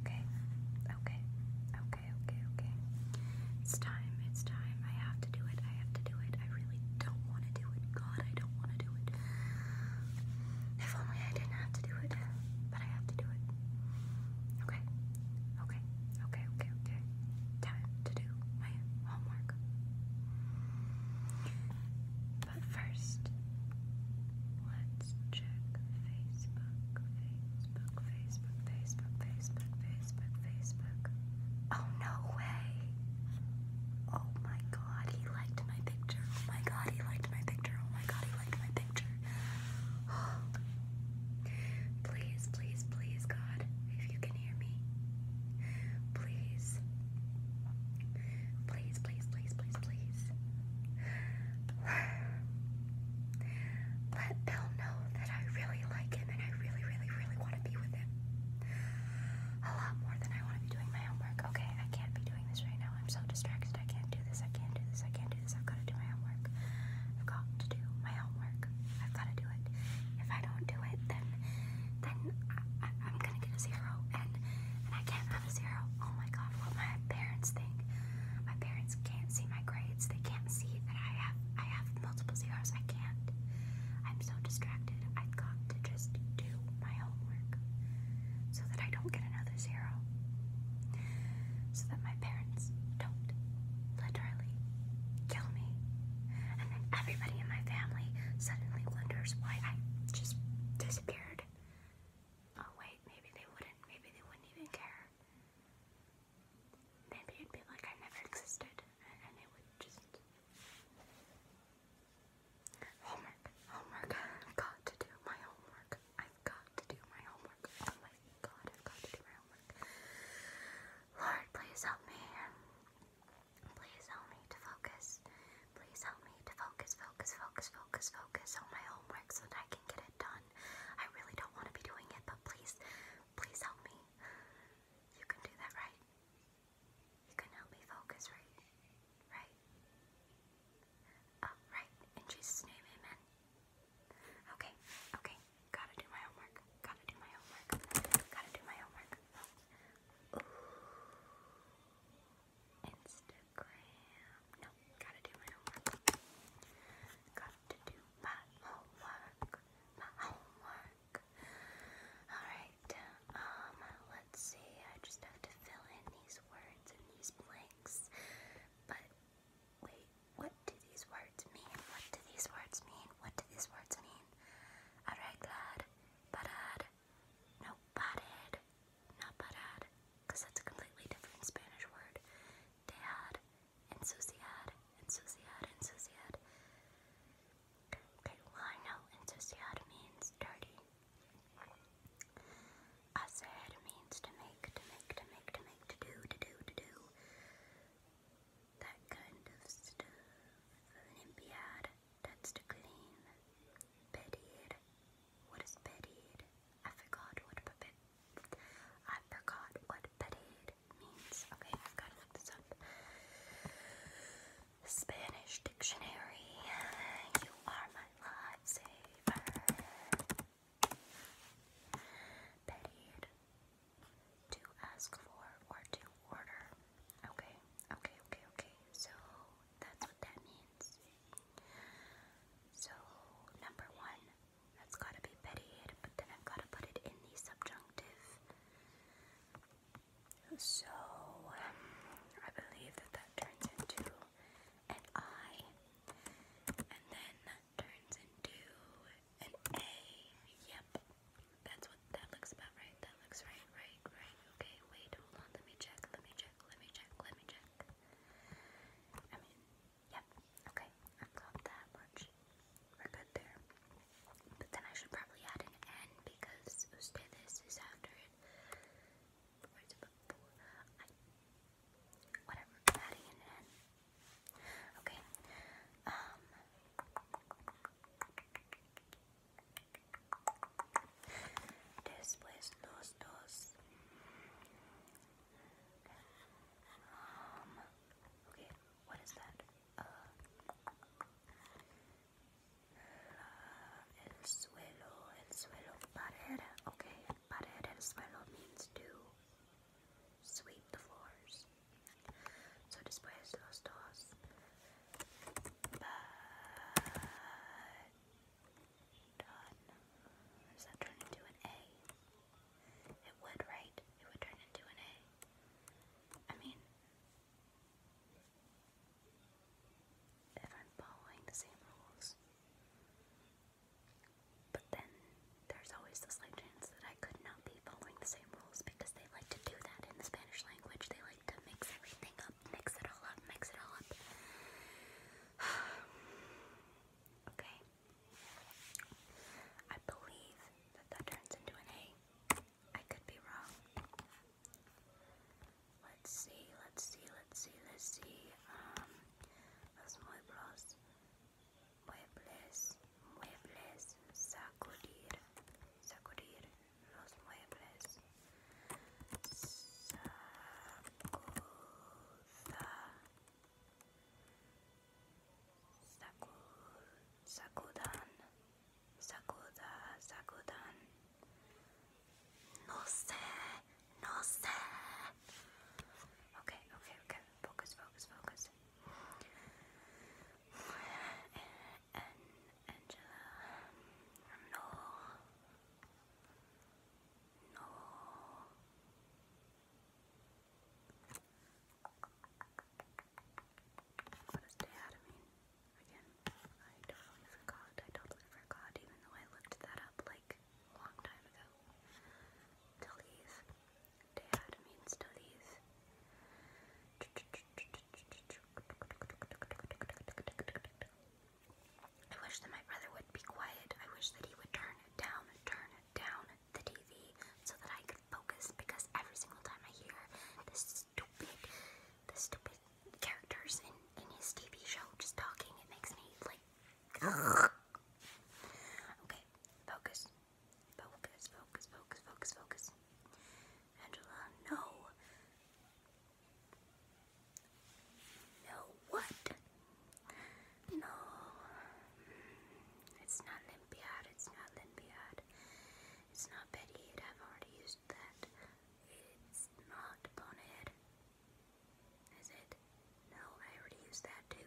Okay, okay, okay, okay, okay. It's time, it's time. I have to do it, I have to do it. I really don't want to do it. God, I don't want to do it. If only I didn't have to do it, but I have to do it. Okay, okay, okay, okay, okay time to do my homework. But first, let's check Facebook, Facebook, Facebook, Facebook, Facebook, Facebook, Facebook. Oh, no way! Oh my god, he liked my picture. Oh my god, he liked my picture. Oh my god, he liked my picture. please, please, please, God, if you can hear me? Please. Please, please, please, please, please. Let Bill know that I really like him and I really, really, really want to be with him. A lot more than I want to be doing my homework. Okay, I can't be doing this right now. I'm so distracted. I can't do this. I can't do this. I can't do this. I've got to do my homework. I've got to do my homework. I've got to do it. If I don't do it, then then I, am gonna get a zero, and and I can't have a zero. Oh my God, what my parents think? My parents can't see my grades. They can't see that I have I have multiple zeros. I can't. I'm so distracted. I've got to just do my homework so that I don't get another zero. So that my parents don't literally kill me and then everybody in my family suddenly wonders why I just disappeared. Oh, wait, maybe they wouldn't. Maybe they wouldn't even care. Maybe it'd be like I never existed and it would just. Homework. Homework. I've got to do my homework. I've got to do my homework. Oh my god, I've got to do my homework. Lord, please help me. Please help me to focus. Please help me to focus, focus, focus, focus, focus on my homework so I can get it done. I really don't want to be doing it, but please, please help me. You can do that, right? You can help me focus, right? Right? Uh, right. In Jesus' name, amen. Okay, okay. Gotta do my homework. Gotta do my homework. Gotta do my homework. Instagram. No, gotta do my homework. Gotta do my homework. My homework. Alright, um, let's see. I just have to fill in these words and these blanks. But wait, what do these words mean? What do these words mean? What do these words mean? Alright, glad. Parad. No, parad. Not parad. that's a completely different Spanish word. Dejad. Ensuciad. Ensuciad. Ensuciad. Okay, well, I know ensuciad means dirty. Hacer means to make, to make, to make, to make, to do, to do, to do that kind of stuff. Olympiad, that's to clean. Bedded. What is bedded? I forgot what puppet. I forgot what bedded means. Okay, I've got to look this up. Spanish dictionary. You are my lifesaver. Bedded to ask for or to order. Okay, okay, okay, okay. So that's what that means. So, number one, that's gotta be petted, but then I've gotta put it in the subjunctive. So, I believe that that turns into an I, and then turns into an A. Yep. That's what that looks about right. That looks right, right, right. Okay, wait, hold on. Let me check. Let me check. Let me check. Let me check. I mean, yep. Okay, I've got that much. We're good there. But then I should probably add an N because ustedes is after it. Whatever. Adding an N. Okay. Um. Después los dos. okay, what is that? Uh, el suelo, el suelo, pared. Okay, pared, el suelo means to sweep the floors. So después los dos. Does that turn into an A? It would, right? It would turn into an A. I mean, if I'm following the same rules. But then there's always the slight that I could not be following the same rules because they like to do that in the Spanish language. They like to mix everything up, mix it all up, mix it all up. okay. I believe that that turns into an A. I could be wrong. Let's see, let's see, let's see, let's see. Um, muebles, muebles, muebles, sacudir, sacudir los muebles, sacuda, sacudan, sacuda, sacudan, no sé, no sé. Ok, ok, ok, focus, focus, focus. and Angela. No. No. What does dad mean? Again, I totally forgot. I totally forgot, even though I looked that up like a long time ago. Delete. I wish that my brother would be quiet. I wish that he would turn it down, turn it down the TV so that I could focus because every single time I hear the stupid, the stupid characters in, in his TV show just talking, it makes me like. okay, focus. Focus, focus, focus, focus, focus. Angela, no. No, what? No. It's not Olympiad, it's not Olympiad. It's not Betty, I've already used that. It's not Bonehead. Is it? No, I already used that too.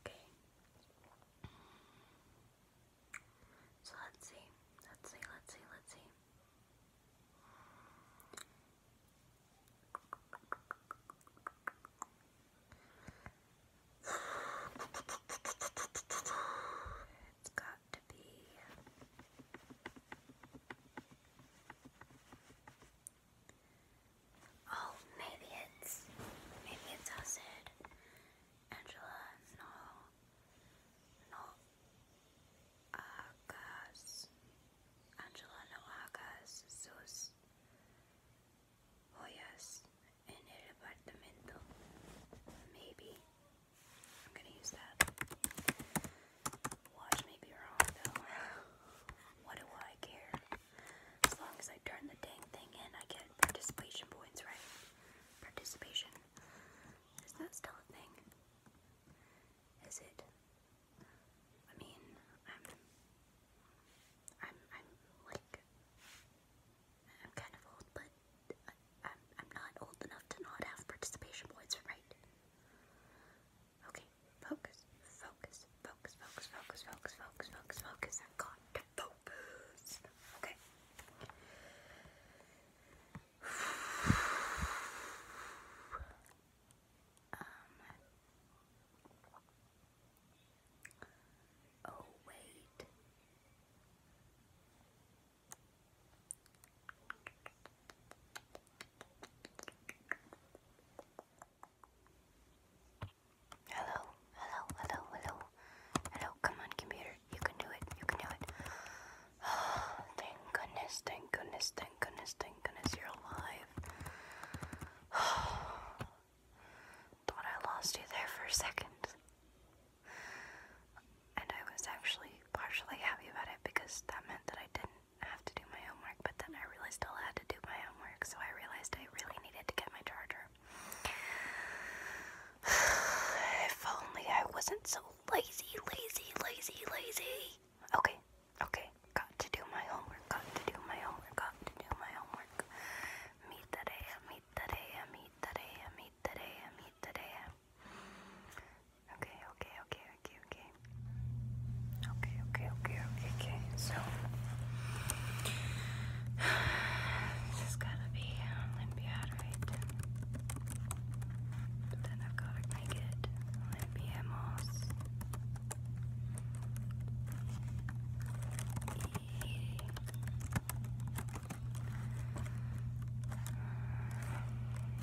Okay. So let's see. Let's see. Let's see. Let's see. it's got to be Oh, maybe it's maybe it's acid. Angela, no. No Agas. Angela no hagas sus joyas en el apartamento. Maybe I'm gonna use that. Watch me be wrong though. What do I care? As long as I turn the dang thing in, I get participation points, right? Participation. Is that still a thing? Is it? I mean, I'm, I'm, I'm like, I'm kind of old, but I'm, I'm not old enough to not have participation points, right? Okay, focus, focus, focus, focus, focus, focus, focus, focus, I got to focus. Okay. Um, oh wait. Hello, hello, hello, hello. Hello, come on, computer. You can do it, you can do it. Oh, thank goodness, thank goodness, thank goodness, thank goodness you're alive. thought I lost you there for a second and I was actually partially happy about it because that meant that I didn't have to do my homework, but then I really still had to do my homework, so I realized I really needed to get my charger. if only I wasn't so lazy, lazy, lazy, lazy. Okay, okay, got to do my homework, got to do my homework, got to do my homework. Meet that AM, meet that AM, meet that AM, meet that AM, meet that AM. Okay, okay, okay, okay, okay. Okay, okay, okay, okay, okay. So this is gotta be Olympiad, um, right? But then I've gotta make it Olympiamos. E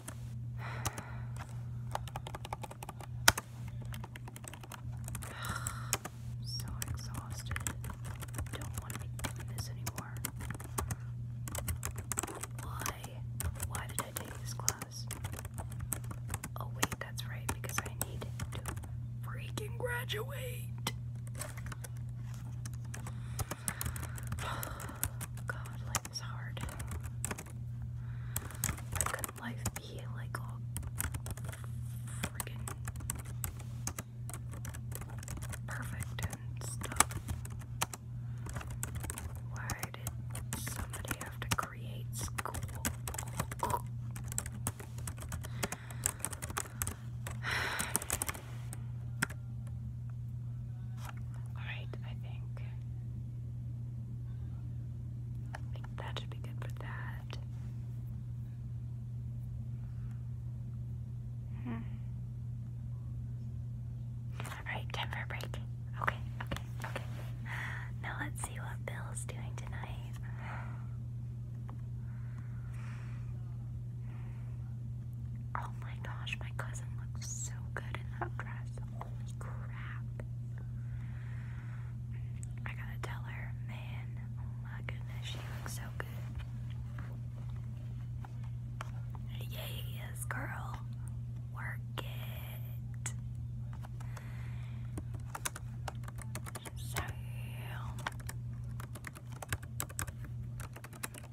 so exhausted. Don't want to be doing this anymore. Why? Why did I take this class? Oh wait, that's right, because I need to freaking graduate. God, life is hard. Why could life be like all perfect and stuff? Why did somebody have to create school? Alright, I think. that should be good for that. Hmm. Alright, time for a break. Okay, okay, okay. Now let's see what Bill's doing tonight. Oh my gosh, my cousin looks so good in that dress. Holy crap. I gotta tell her, man, oh my goodness, she looks so good. Yes, girl. Work it. So,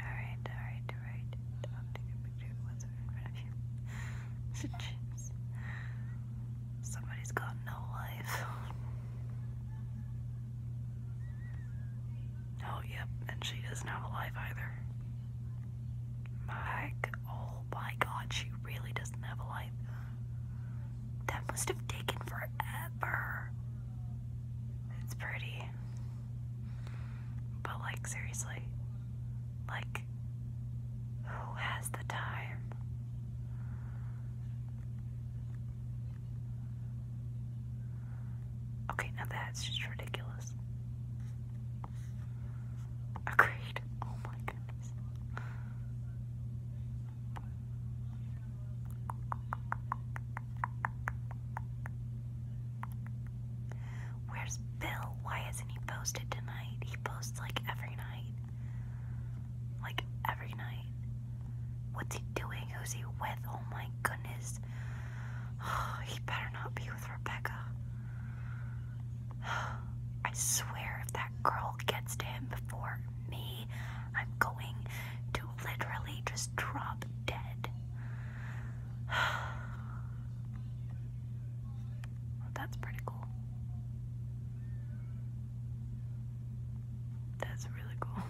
Alright, alright, alright. I'll take a picture of what's in front of you. Jeez. Somebody's got no life. Oh, yep, and she doesn't have either. My, oh my god, she really doesn't have a life. That must have taken forever. It's pretty. But, like, seriously, like, who has the time? Okay, now that's just ridiculous. Agreed. Oh my goodness. Where's Bill? Why hasn't he posted tonight? He posts like every night. Like every night. What's he doing? Who's he with? Oh my goodness. he better not be with Rebecca. I swear, if that girl gets to him before me, I'm going to literally just drop dead. that's pretty cool. That's really cool.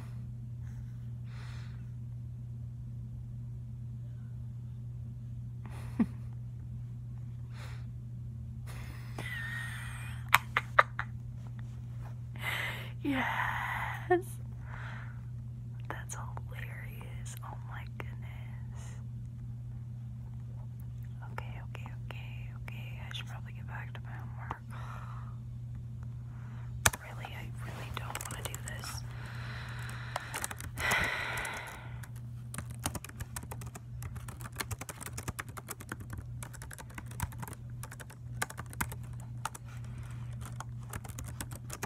yes. That's hilarious. Oh my goodness. Okay, okay, okay, okay. I should probably get back to my homework. Really, I really don't want to do this.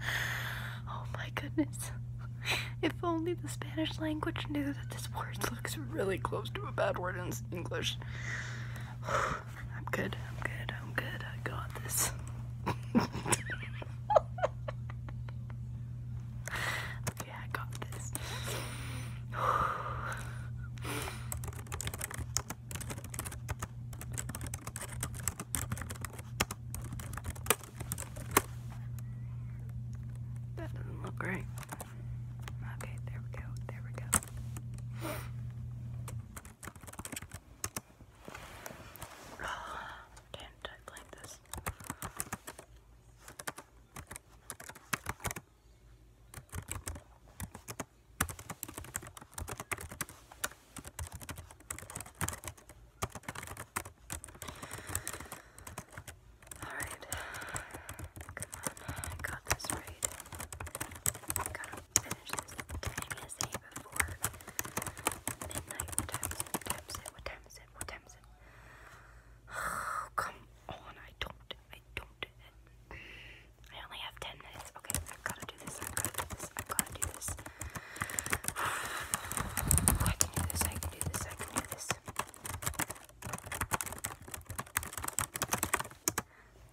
Oh my goodness. If only the Spanish language knew that this word looks really close to a bad word in English. I'm good, I'm good, I'm good, I got this. okay, I got this. That doesn't look right. Okay, there we go, there we go. Damn, I blink this. Alright, come on, I got this right. Gotta finish this What time is it? What time What time is it? What time is it? Oh, come on, I don't, I don't. I only have 10 minutes. Okay, I've got to do this. I've got to do this. I've got to do this. I can do this. I can do this. I can do this.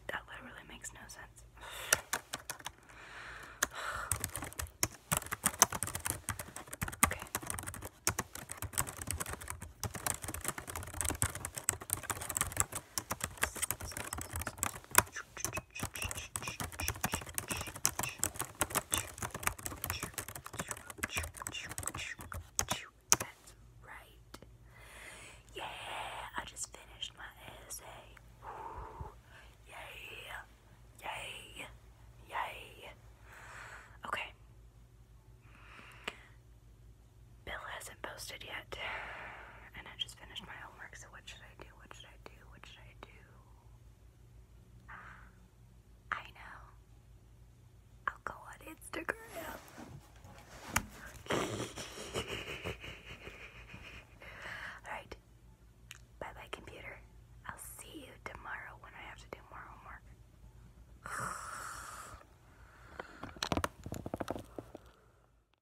That literally makes no sense. Okay. That's right. Yeah, I just finished my essay. Woo. Yay, yay, yay. Okay. Bill hasn't posted yet, and I just finished my homework, so what should I do? What should I do? What should I do? Um, I know. I'll go on Instagram. Alright. Bye bye, computer. I'll see you tomorrow when I have to do more homework.